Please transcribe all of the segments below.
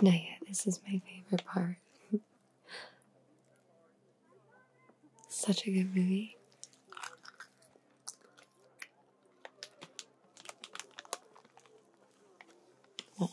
Now, yeah, this is my favorite part. Such a good movie. Well,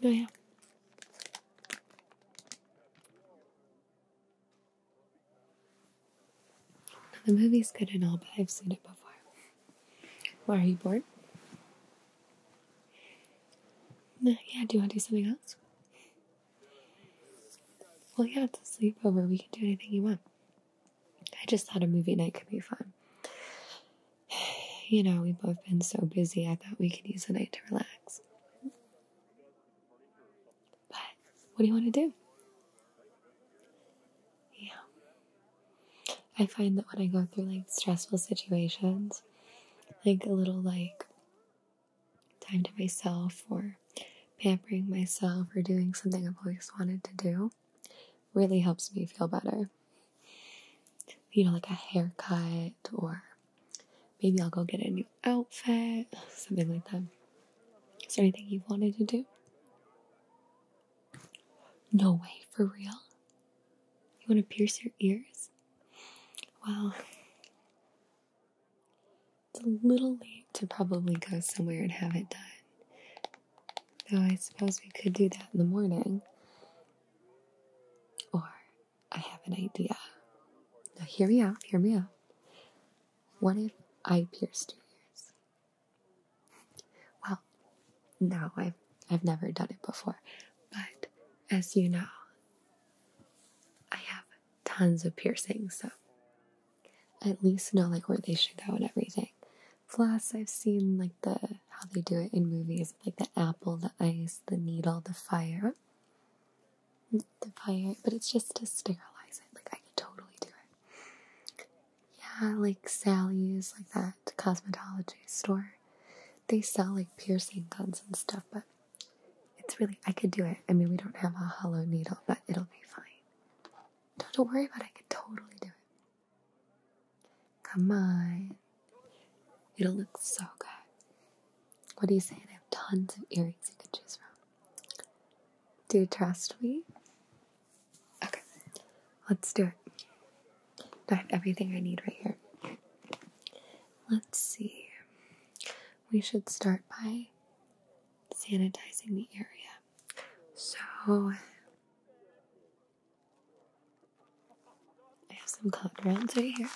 yeah. The movie's good and all, but I've seen it before. Why are you bored? yeah, do you want to do something else? Well, yeah, it's a sleepover. We can do anything you want. I just thought a movie night could be fun. You know, we've both been so busy, I thought we could use a night to relax. But what do you want to do? Yeah. I find that when I go through like stressful situations, like a little like time to myself or pampering myself or doing something I've always wanted to do really helps me feel better. You know, like a haircut, or maybe I'll go get a new outfit, something like that. Is there anything you've wanted to do? No way, for real? You want to pierce your ears? Well, it's a little late to probably go somewhere and have it done. Now, I suppose we could do that in the morning. Or, I have an idea. Now, hear me out, hear me out. What if I pierce? your ears? Well, no, I've, I've never done it before. But, as you know, I have tons of piercings, so at least know like where they should go and everything. Plus, I've seen like the how they do it in movies like the apple, the ice, the needle, the fire. The fire, but it's just to sterilize it. Like I could totally do it. Yeah, like Sally's like that cosmetology store. They sell like piercing guns and stuff, but it's really I could do it. I mean we don't have a hollow needle, but it'll be fine. don't worry about it, I could totally do it. Come on. It'll look so good. What do you say? I have tons of earrings you can choose from. Do you trust me? Okay, let's do it. I have everything I need right here. Let's see. We should start by sanitizing the area. So, I have some cotton rounds right here.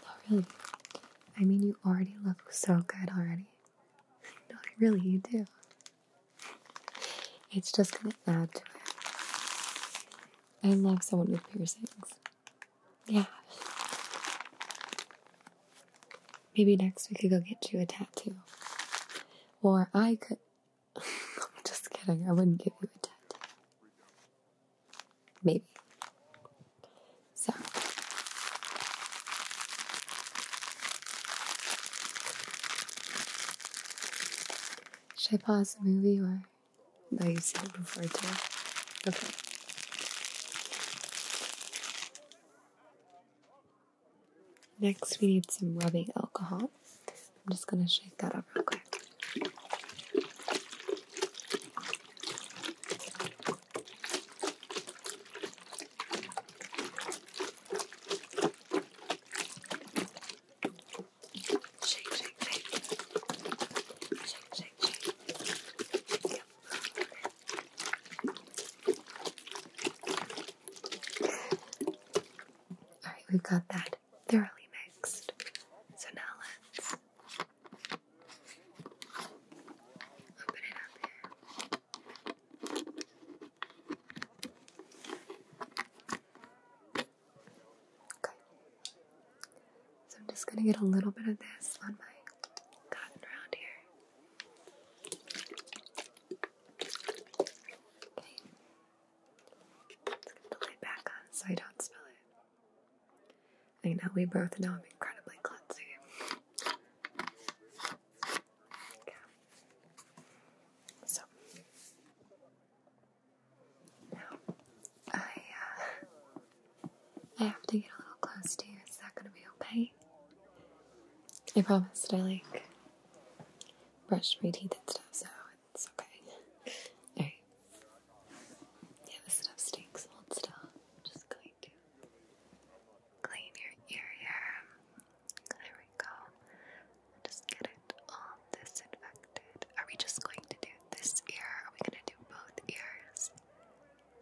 Not really. I mean, you already look so good already. No, really, you do. It's just gonna add to it. I love someone with piercings. Yeah. Maybe next we could go get you a tattoo. Or I could. I'm just kidding, I wouldn't give you a tattoo. Maybe. So. Should I pause the movie or? No, you've seen it before too. Okay. Next, we need some rubbing alcohol. I'm just gonna shake that up real quick. Shake, shake, shake. Shake, shake, shake. Yep. Alright, we've got that thoroughly mixed. So now let's open it up here. Okay. So I'm just going to get a little bit of this on my cotton around here. Okay. Let's get the lid back on so I don't spill it. I think now we both know I'm incredibly clumsy. So I uh, I have to get a little close to you. Is that gonna be okay? I promised I like brushed my teeth and stuff, so it's okay. Alright. Yeah, this stuff stinks. Hold still. just going to clean your ear here. There we go. Just get it all disinfected. Are we just going to do this ear? Are we going to do both ears?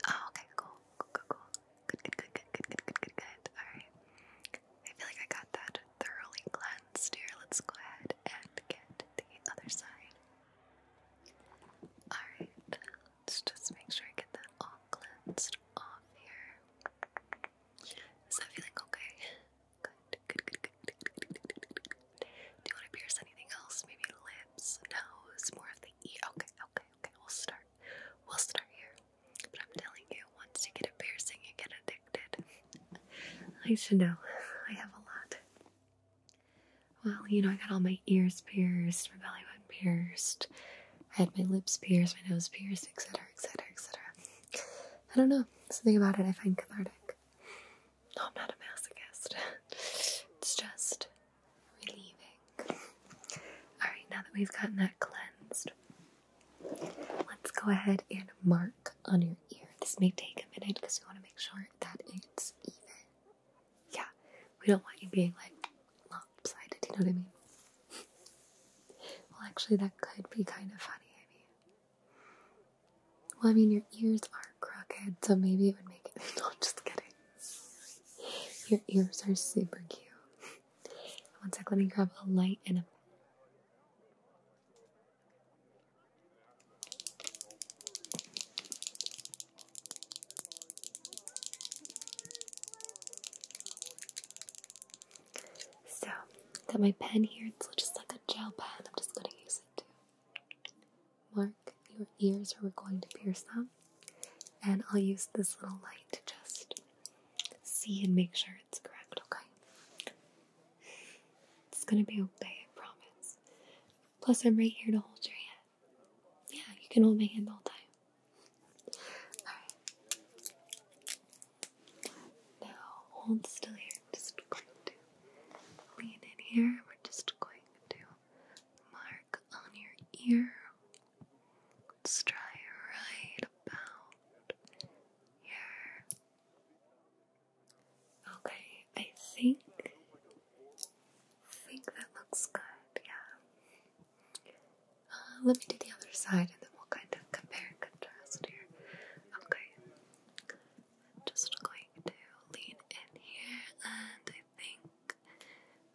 Oh, okay, cool. Cool, cool, cool. Good, good, good, good, good, good, good, good, Alright. I feel like I got that thoroughly cleansed here. Let's go ahead and get the other side. Alright. Let's just make sure I get that all cleansed off here. Is that feeling okay? Do you want to pierce anything else? Maybe lips, nose, more of the ear. Okay, okay, okay. We'll start. We'll start here. But I'm telling you, once you get a piercing, you get addicted. I should know. I have a lot. Well, you know, I got all my ears pierced, my belly button pierced. I had my lips pierced, my nose pierced, etc., etc., etc. I don't know something about it I find cathartic. No, I'm not a masochist. it's just relieving. Alright, now that we've gotten that cleansed, let's go ahead and mark on your ear. This may take a minute because we want to make sure that it's even. Yeah, we don't want you being like lopsided, you know what I mean? well, actually, that could be kind of funny. I mean, well, I mean, your ears are crooked, so maybe it would make it. No, I'm just kidding. Your ears are super cute. One sec, let me grab a light and a. So, got my pen here. It's just like a gel pen. I'm just going to use it to mark your ears where we're going to pierce them. And I'll use this little light to just see and make sure it's correct, okay? It's going to be okay, I promise. Plus, I'm right here to hold your hand. Yeah, you can hold my hand all day. Alright. Now hold still here. I'm just going to lean in here. We're just going to mark on your ear. Let's try right about here. Okay, I think I think that looks good. Yeah. Uh, let me do the other side and we'll kind of compare and contrast here. Okay, I'm just going to lean in here, and I think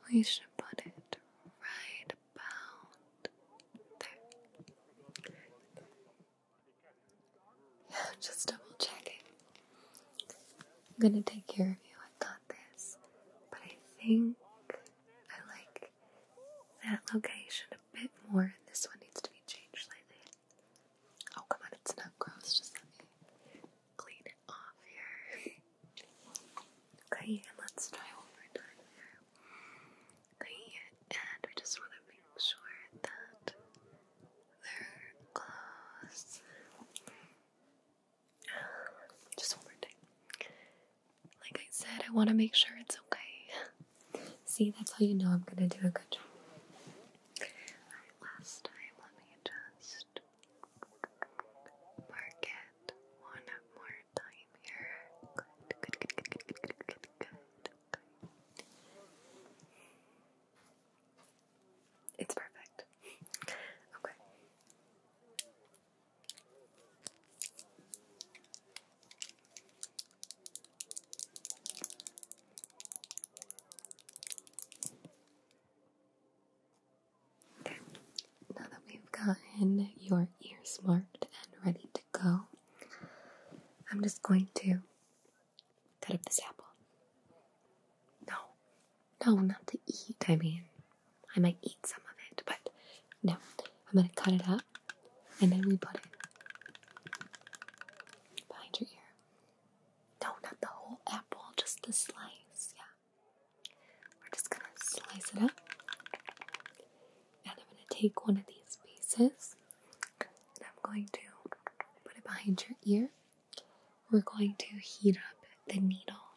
we should put it right about there. Yeah, just double checking. I'm gonna take care of you. I got this, but I think I like that location a bit more. and This one needs to be changed slightly. Oh, come on, it's not gross. Just let me clean it off here. Okay, let's try one more time there. Okay, and we just want to make sure that they're close. Just one more time like I said, I want to make sure it's okay. See, that's how you know I'm gonna do a good job. last time, let just mark one more time here. It's perfect. Okay now that we've gotten your ears marked and ready to go, I'm just going to cut up this apple. No, no, not to eat. I mean, I might eat some of it, but no, I'm going to cut it up and then we put it behind your ear. No, not the whole apple, just the slice. Yeah. We're just going to slice it up. And I'm going to take one of these pieces and I'm going to put it behind your ear. We're going to heat up the needle.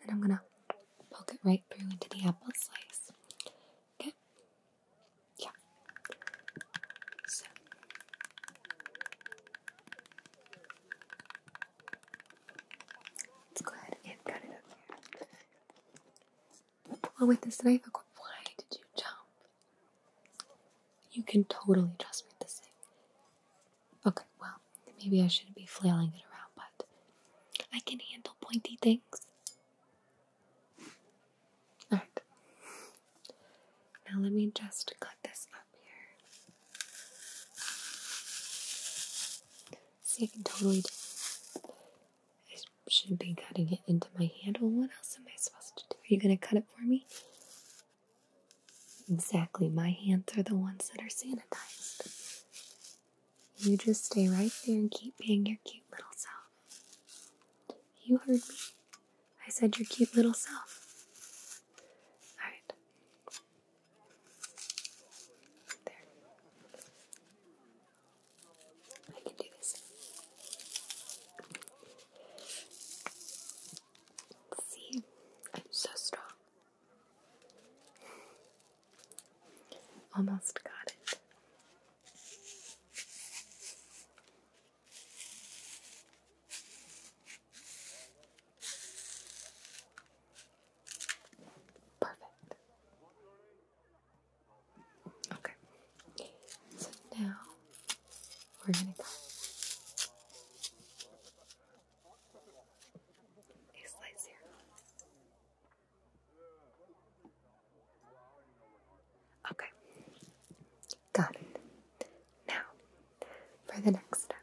And then I'm going to poke it right through into the apple slice. Okay, yeah. So let's go ahead and cut it up here. Well, with this knife, why did you jump? You can totally trust me with this thing. Okay, well, maybe I shouldn't be flailing it around, but I can handle pointy things. Alright. Now let me just cut this up here. See, I can totally I should be cutting it into my handle. what else am I supposed to do? Are you going to cut it for me? Exactly. My hands are the ones that are sanitized. You just stay right there and keep being your cute little self. You heard me. I said your cute little self. Alright. There. I can do this. See, I'm so strong. Almost got it. Perfect. Okay. So now we're going to cut a slice here. Okay, got Now, for the next step.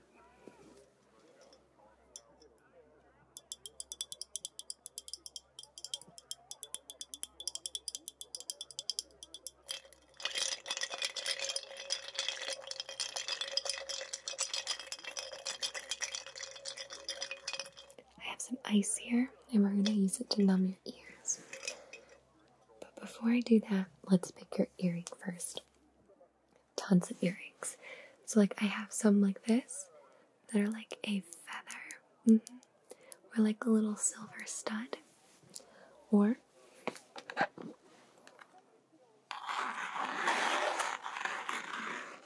I have some ice here, and we're going to use it to numb your ears. But before I do that, let's pick your earring first. Tons of earrings. So, like, I have some like this that are like a feather, mm-hmm, or like a little silver stud, or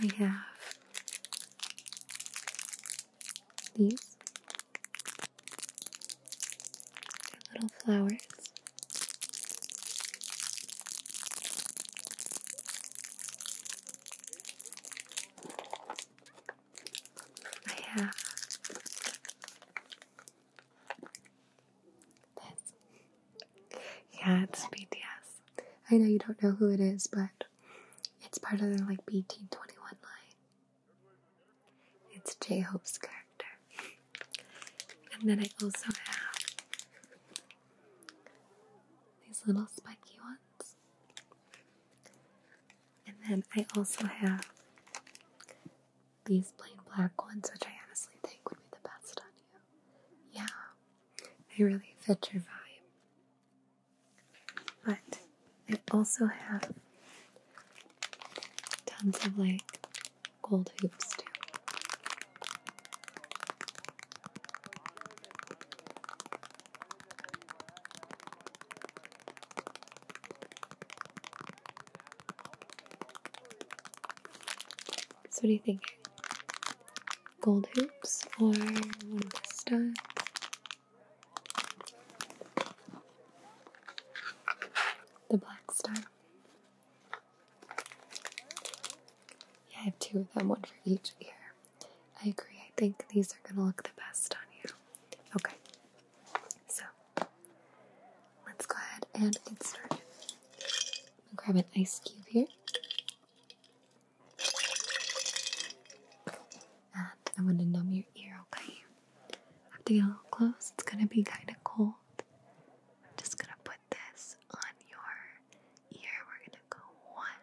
I have these little flowers. I have yeah, it's BTS. I know you don't know who it is, but it's part of the like BT21 line. It's J Hope's character. And then I also have these little spiky ones. And then I also have these plain black ones, which I honestly think would be the best on you. Yeah, they really fit your vibe. But I also have tons of like gold hoops too. So, what do you think? gold hoops or one of the studs. The black star. Yeah, I have two of them, one for each ear. I agree, I think these are gonna look the best on you. Okay, so let's go ahead and get started. grab an ice cube here. And I want to numb your ear, okay? I have to get a little close. It's gonna be kind of cold. just gonna put this on your ear. We're gonna go one,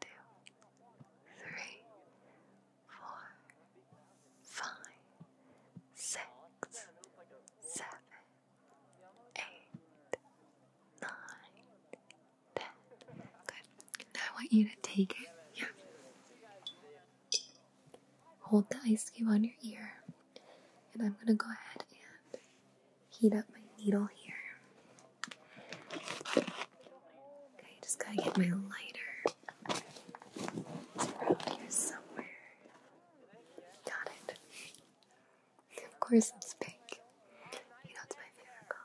two, three, four, five, six, seven eight, nine, ten. Good. I want you to take it. Yeah. Hold the ice cube on your ear, and I'm gonna go ahead and heat up my needle here. Okay, just gotta get my lighter. It's around here somewhere. Got it. Of course it's pink. You know it's my favorite color.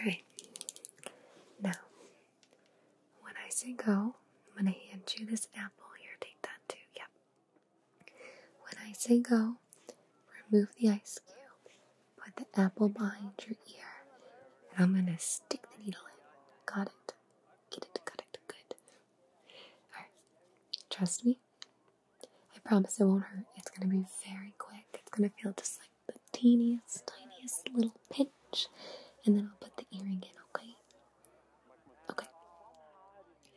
Alright. Now, when I say go, I'm gonna hand you this apple. Here, take that too. Yep. When I say go, remove the ice cube. Put the apple behind your ear. And I'm gonna stick the needle in. Got it? Get it, good. Alright, trust me. I promise it won't hurt. It's gonna be very quick. It's gonna feel just like the teeniest, tiniest little pinch. And then I'll put the earring in, okay? Okay.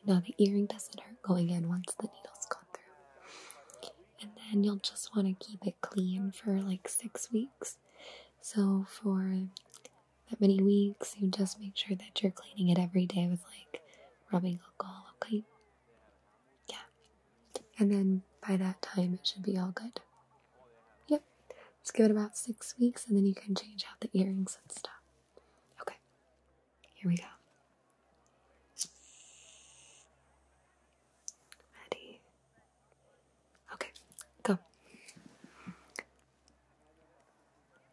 Now the earring doesn't hurt going in once the needle's gone through. And then you'll just want to keep it clean for like six weeks. So for that many weeks. You just make sure that you're cleaning it every day with like rubbing alcohol, okay? Yeah. And then by that time, it should be all good. Yep. Let's give it about six weeks and then you can change out the earrings and stuff. Okay. Here we go. Ready? Okay, go.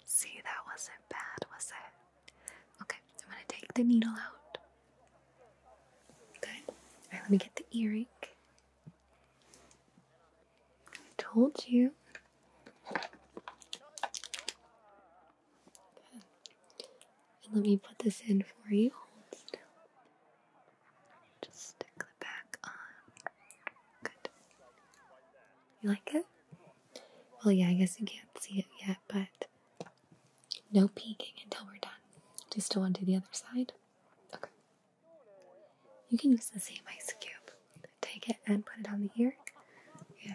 See, that wasn't bad, was it? Okay, I'm gonna take the needle out. Good. Alright, let me get the earring. I told you. let me put this in for you. Hold still. Just stick back on. Good. You like it? Well, yeah, I guess you can't see it yet, but no peeking until we're done. Just go still to the other side? Okay. You can use the same ice cube. Take it and put it on the ear. Yeah.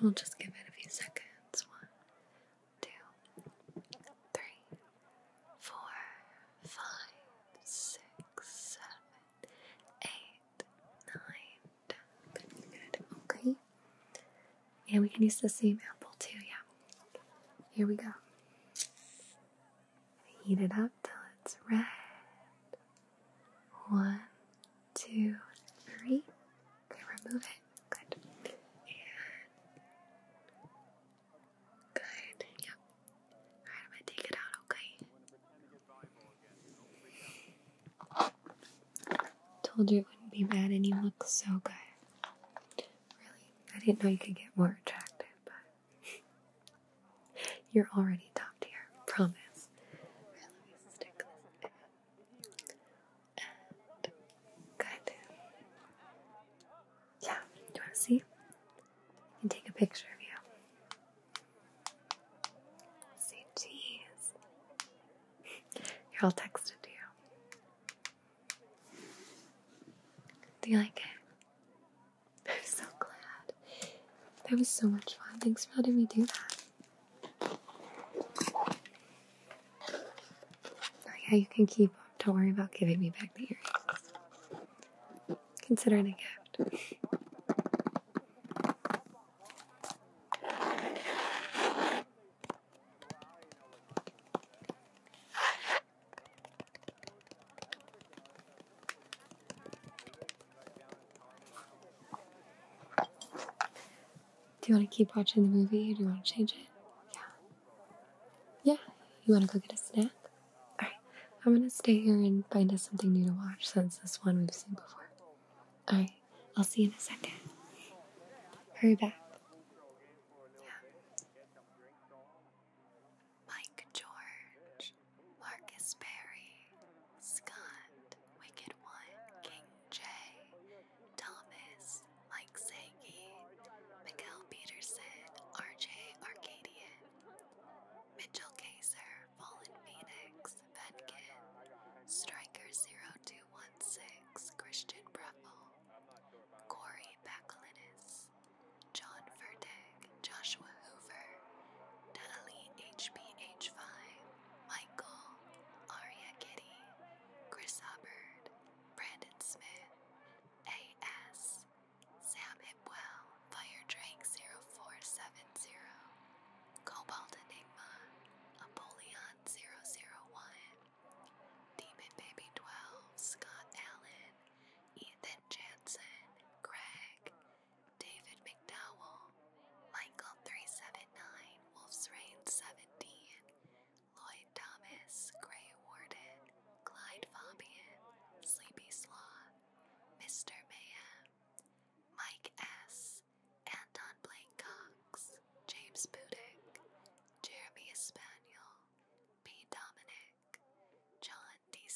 We'll just give it a few seconds. One, two, three, four, five, six, six, seven, eight, nine, ten. Good. Okay. And we can use the same apple too, yeah. Here we go. Heat it up till it's red. One, two, three. Okay, remove it. Good. Good. Yep. Alright, I'm gonna take it out, okay? Told you it wouldn't be bad and you look so good. Really, I didn't know you could get more attractive, but you're already top tier, promise. Right, let And good. Yeah, you wanna see? and take a picture of you. Say cheese. Here, I'll text it to you. Do you like it? I'm so glad. That was so much fun. Thanks for letting me do that. Oh yeah, you can keep up. Don't worry about giving me back the earrings. Considering it a gift. Do you want to keep watching the movie do you want to change it? Yeah. Yeah. You want to go get a snack? Alright, I'm gonna stay here and find us something new to watch since this one we've seen before. Alright, I'll see you in a second. Hurry back. Yeah. Mike George, Marcus Berry, Scott, Wicked One, King J, Thomas, Mike Sankey, Miguel Peterson, RJ Arcadian, Mitchell Kaiser, Fallen Phoenix, Venkin, Striker0216, Christian Breffel, Corey Bakalinis, John Verteg, Joshua Hoover, Natalie HBH5, Michael, Aria Kitty, Chris Hubbard, Brandon Smith, A.S. Sam Hipwell, Fire Drake 0470, Cobalt Enigma, Apollyon 001, Demon Baby 12, Scott Allen, Ethan Jansen, Craig, David McDowell, Michael 379, Wolf's Reign 17, Lloyd Thomas, Gray Warden, Clyde Fabian, Sleepy Sloth, Mr. Mayhem, Mike S., Anton Blake Cox, James Budick, Jeremy Spaniel, P. Dominic, John DC1.